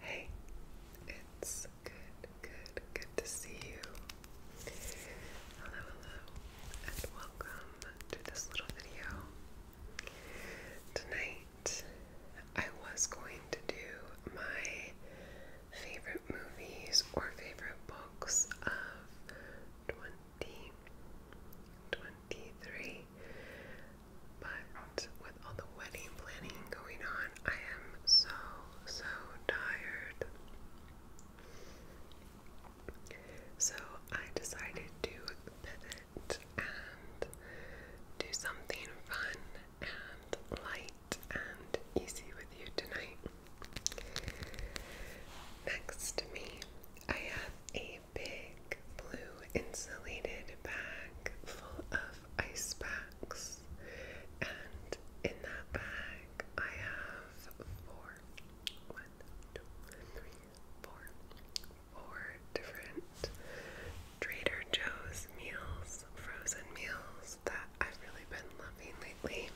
Hey, it's good, good, good to see you. Hello, hello, and welcome to this little video. Tonight, I was going to do my favorite movies or favorite books of 2023. But with all the wedding planning going on, I am so, so tired. So I decided to pivot and do something fun and light and easy with you tonight. Next to me, I have a big blue insulated bag full of ice packs, and in that bag I have four, one, two, three, four, four different Trader Joe's meals, frozen meals that I've really been loving lately.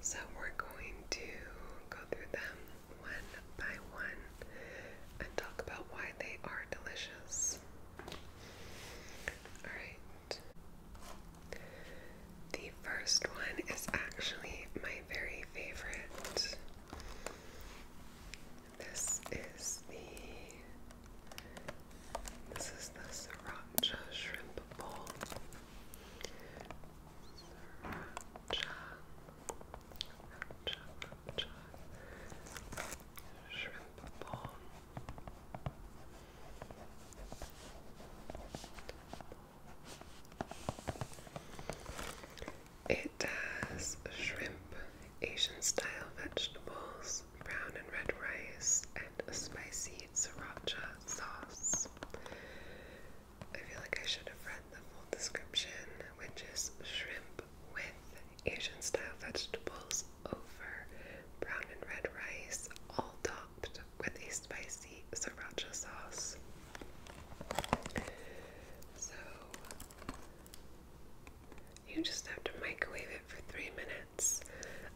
So we're going to go through them one by one and talk about why they are delicious. Alright. The first one is actually my very favorite. This is the this is the sriracha shrimp bowl shrimp bomb, it has shrimp, Asian style vegetables, brown and red rice, and a spicy sriracha sauce. I feel like I should have read the full description which is shrimp with Asian style vegetables over brown and red rice, all topped with a spicy sriracha sauce. So you just have to microwave it for three minutes,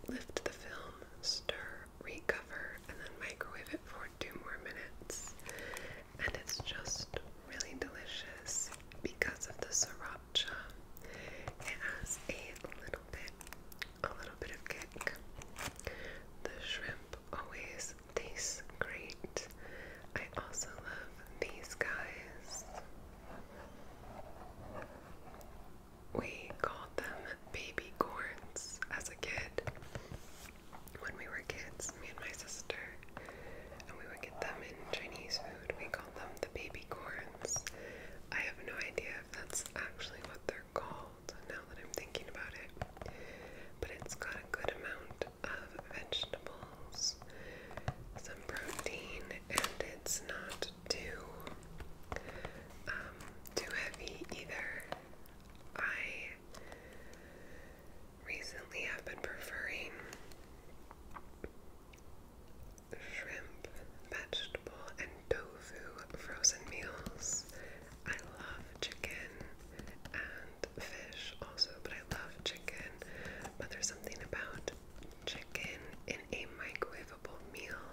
lift the film, stir, recover, and then microwave it for two more minutes. And it's just really delicious because of the sriracha. It has a little bit, a little bit of kick. The shrimp always tastes great. I also love these guys. We called them baby corns as a kid when we were kids, me and my sister, and we would get them in Chinese food. We called them the baby corns. I have no idea if that's actually what they're called now that I'm thinking about it, but it's got a good amount of vegetables, some protein, and it's not too um, too heavy either. I recently I've been preferring shrimp, vegetable, and tofu frozen meals. I love chicken and fish also, but I love chicken. But there's something about chicken in a microwavable meal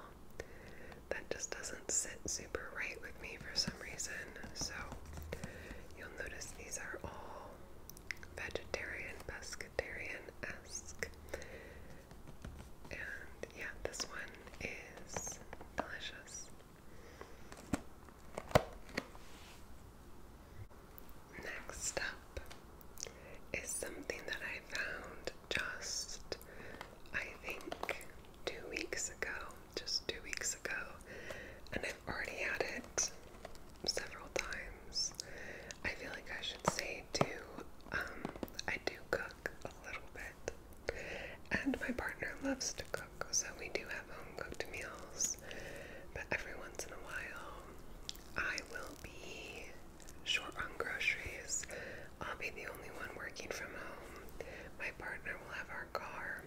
that just doesn't sit super right with me for some reason. So You'll notice these are all vegetarian, pescatarian esque. And yeah, this one is delicious. Next up is something that I found just, I think, two weeks ago just two weeks ago, and I've already had it several times. I feel like I should say, too, um, I do cook a little bit, and my partner loves to cook, so we do have home cooked meals, but every once in a while, I will be short on groceries. I'll be the only one working from home. My partner will have our car.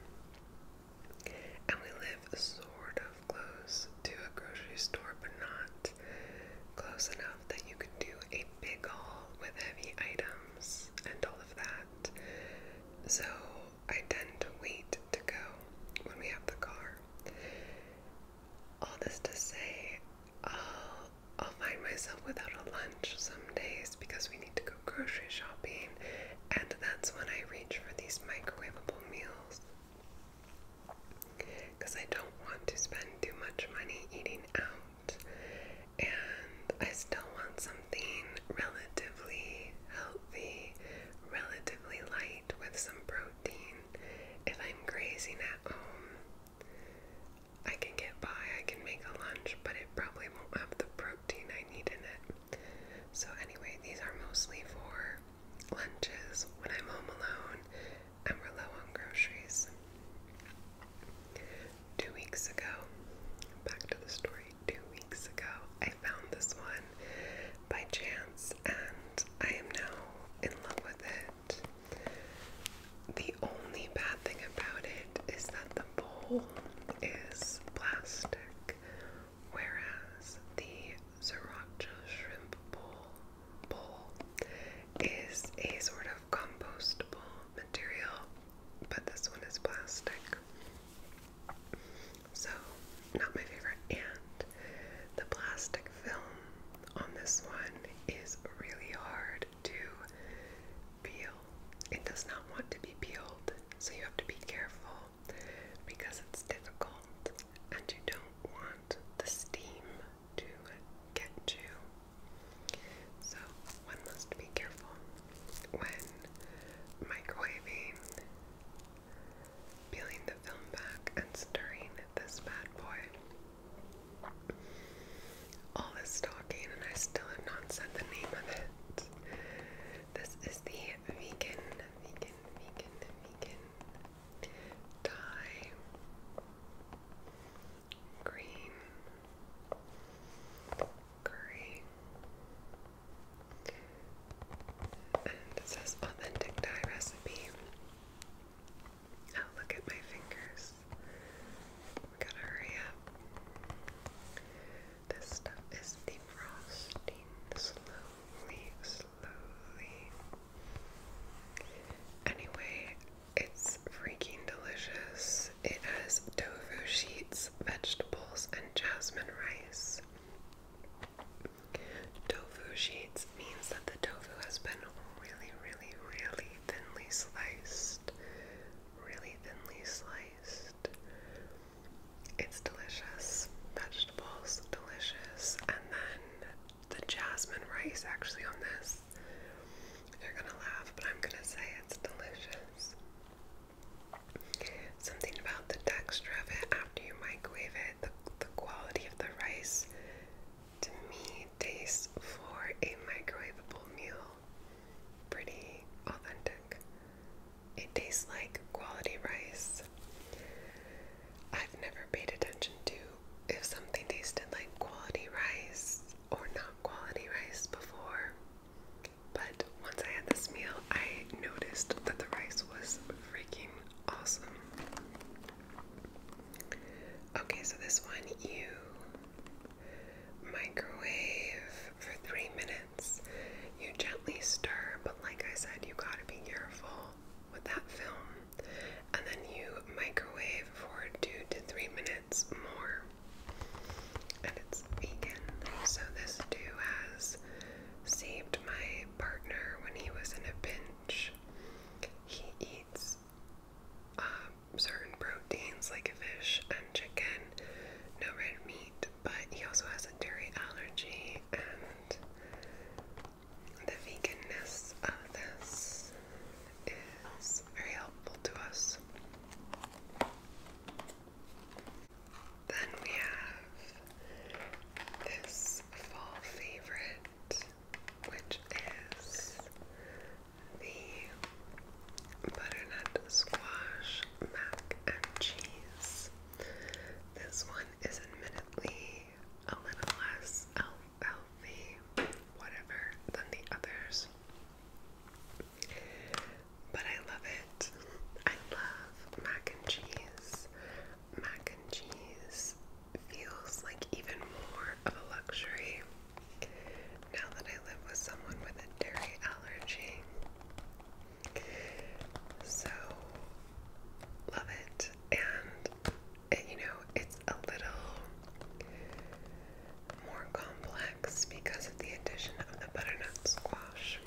And we live sort of close to a grocery store, but not close enough that you can do a big haul with heavy items and all of that. So I tend to wait to go when we have the car. All this to say, I'll find myself without a lunch some days because we need to go grocery shopping and that's when I reach for these microwavable meals. Because I don't want to spend too much money eating out, and I still want something relatively healthy, relatively light with some protein. If I'm grazing at home, I can get by, I can make a lunch, but it probably won't have the protein I need in it. So, anyway, these are mostly for lunches when I'm home alone and we're low on groceries. Two weeks ago, back to the story, two weeks ago, I found this one by chance and I am now in love with it. The only bad thing about it is that the the is plastic, whereas the sriracha shrimp bowl bowl is a sort of compostable material, but this one is plastic. So, not my favorite. And the plastic film on this one is really hard to peel it does not want to be peeled, so you have to be careful because it's difficult and you don't want the steam to get you. So one must be careful when microwaving, peeling the film back, and stirring this bad boy all this talking and I still have not said the name of it. This is the vegan, vegan, vegan, vegan dye green curry. And it says authentic dye recipe. Oh, look at my fingers. gotta hurry up. This stuff is defrosting slowly, slowly. Anyway, it's freaking delicious. It has tofu sheets, vegetables, and jasmine rice. Tofu sheets means that the tofu has been really, really, really thinly sliced. Really thinly sliced. It's delicious. Vegetables, delicious. And then the jasmine rice actually on this. You're gonna laugh, but I'm gonna say it's delicious. Something about the texture of it after you microwave it, the, quality of the rice to me tastes for a microwaveable meal pretty authentic. It tastes like quality rice. I've never paid attention to if something tasted like quality rice or not quality rice before. But once I had this meal, I noticed that the rice was freaking awesome. Okay, so this one you microwave for three minutes. You gently stir, but like I said, you gotta be careful with that film. And then you microwave for two to three minutes more. And it's vegan. So this too has saved my partner when he was in a pinch. He eats um, certain proteins like fish and chicken, no red meat, but he also has a dairy allergy and the veganness of this is very helpful to us. Then we have this fall favorite, which is the butternut squash mac and cheese. This one is admittedly a little less healthy, whatever, than the others. But I love it. I love mac and cheese. Mac and cheese feels like even more of a luxury now that I live with someone with a dairy allergy. So, love it. And, you know, it's a little more complex because of the addition of the butternut squash.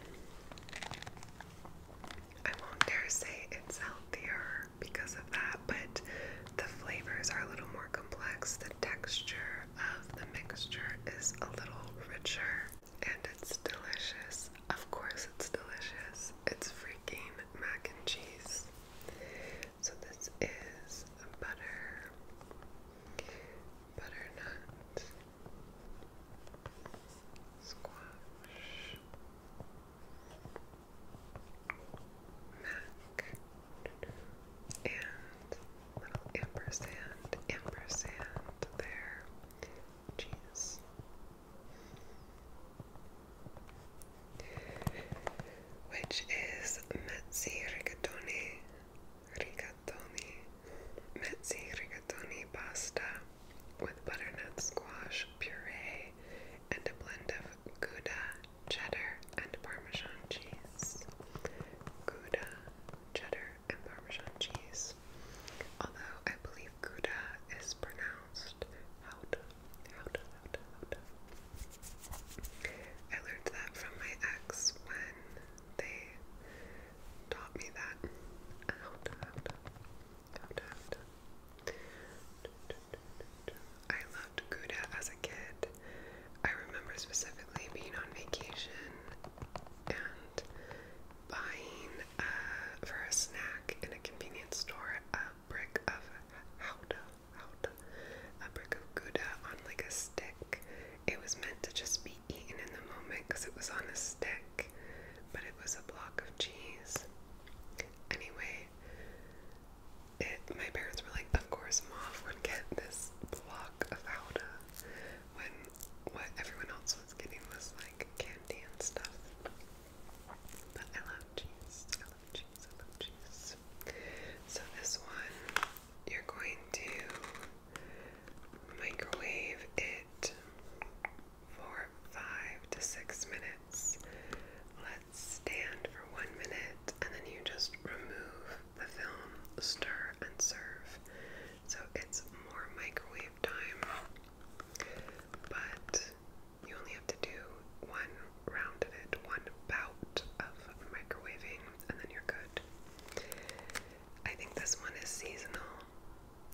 I won't dare say it's healthier because of that, but the flavors are a little more complex. The texture of the mixture is a little richer and it's delicious. Of course, it's delicious. It's freaking mac and cheese. So, this is butter, butternut, squash, mac and little ampersand, ampersand there. Jeez. Which is Mezzi rigatoni, rigatoni, Mezzi rigatoni pasta with butternut squash puree and a blend of gouda cheddar, and parmesan cheese. Gouda, cheddar, and parmesan cheese. Although I believe Gouda is pronounced Houda, Houda, Houda, Houda. I learned that from my ex when they taught me that. Houda, Houda, Houda, Houda. I loved Gouda as a kid. I remember specifically being on vacation and buying uh, for a snack in a convenience store a brick of Gouda, Gouda, a brick of Gouda on like a stick. It was meant to just be eaten in the moment because it was on a stick, but it was a block of cheese. Anyway, it, my parents were like, of course mom would get this block of Alda when what everyone else was getting was like candy and stuff. But I love cheese. I love cheese. I love cheese. So this one, you're going to microwave it for five to six minutes. Let Stand for one minute and then you just remove the film, stir, and serve. So it's more microwave time, but you only have to do one round of it, one bout of microwaving, and then you're good. I think this one is seasonal,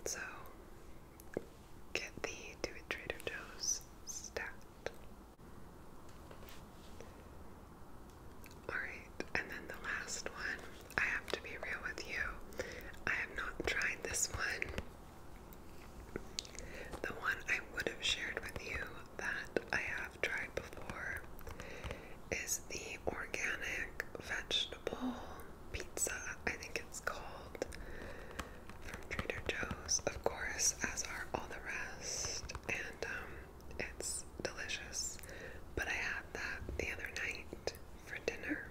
so get the Do It Trader Joe's stat. Alright, and then the last one. I have to be real with you. I have not tried this one. The one I would have shared with you that I have tried before is the organic vegetable pizza, I think it's called from Trader Joe's, of course, as are all the rest, and um, it's delicious. But I had that the other night for dinner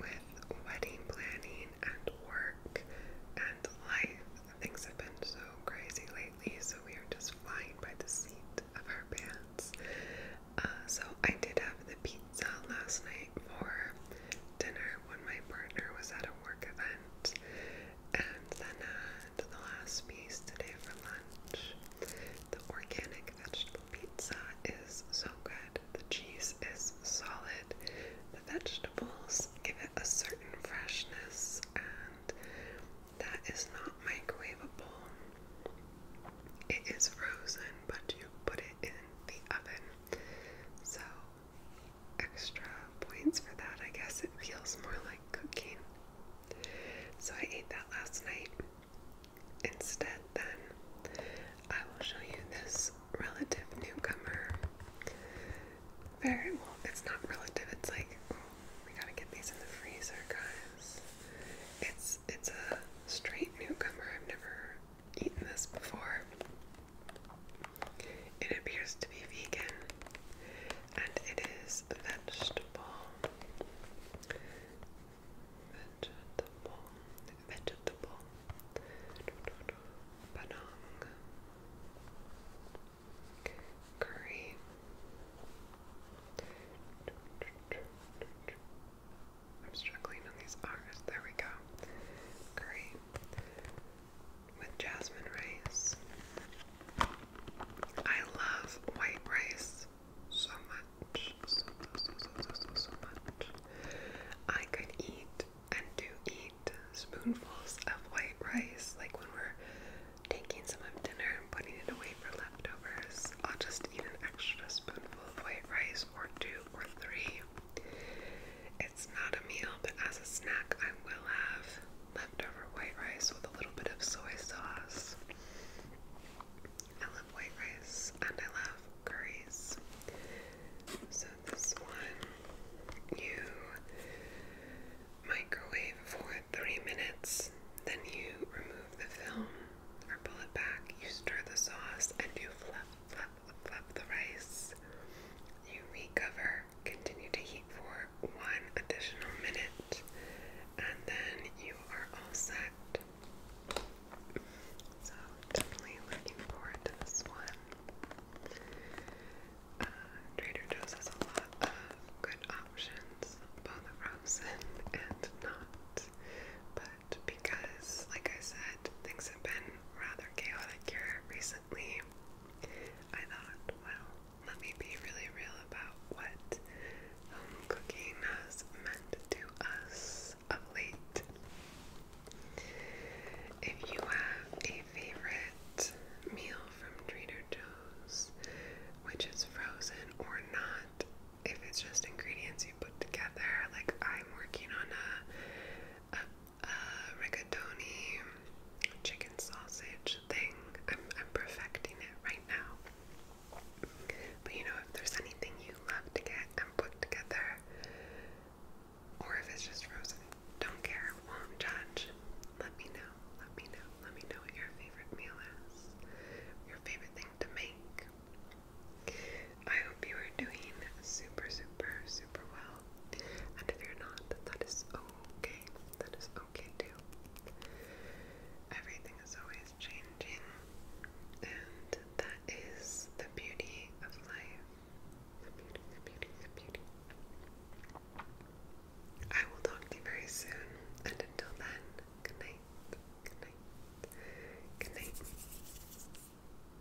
with wedding planning and work and life. Things have been so crazy lately, so we are just flying by the seat of our pants. Uh, so I did have the pizza last night for dinner when my partner was at a work event, and then uh, the last piece today for lunch. The organic vegetable pizza is so good. The cheese is solid. The vegetables give it a certain freshness, and that is not microwavable. It is frozen, but you put it in the oven. So extra points for that. I guess it feels more like cooking. So I ate that last night. Instead, then, I will show you this relative newcomer. Very well, it's not relative, it's like, oh, we gotta get these in the freezer, guys. It's, it's a straight newcomer. I've never eaten this before. It appears to be vegan and it is vegetable. Vegetable. Vegetable. Panang. Curry. I'm struggling on these R's. There we go. Curry with jasmine rice. I love white rice so much. So, so, so, so, so, much. I could eat and do eat spoonfuls of white rice, like when we're taking some of dinner and putting it away for leftovers. I'll just eat an extra spoonful of white rice, or two, or three. It's not a meal, but as a snack, I will have leftover white rice with a little bit of soy sauce. I love white rice and I love curries. So, this one you microwave for three minutes, then you remove the film or pull it back, you stir the sauce, and you fluff, top the rice. You recover, continue to heat for one additional minute, and then you are all set. So, definitely looking forward to this one. Uh, Trader Joe's has a lot of good options, both frozen and not. But because, like I said, things have been rather chaotic here recently, I thought, well, let me be really real about what home um, cooking has meant to us of late. If you have a favorite meal from Trader Joe's, which is frozen or not, if it's just ingredients you put together, like I'm working on a uh, rigatoni chicken sausage thing. I'm, I'm perfecting it right now. But you know, if there's anything you love to get and put together, or if it's just frozen, don't care, won't judge. Let me know, let me know, let me know what your favorite meal is, your favorite thing to make. I hope you are doing super, super, super well. And if you're not, that is okay. That is okay too. Everything is always changing, and that is the beauty of life. The beauty, the beauty, the beauty. I will talk to you very soon, and until then, good night, good night, good night.